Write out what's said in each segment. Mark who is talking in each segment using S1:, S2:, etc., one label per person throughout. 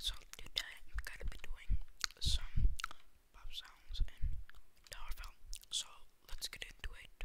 S1: So, today I'm gonna be doing some pop sounds and Darvel. So let's get into it.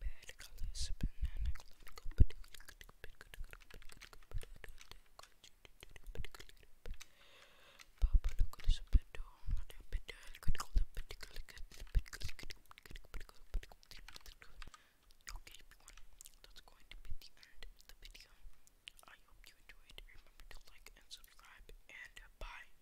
S1: Bad Okay that's going to be the end of the video. I hope you enjoyed. Remember to like and subscribe and bye.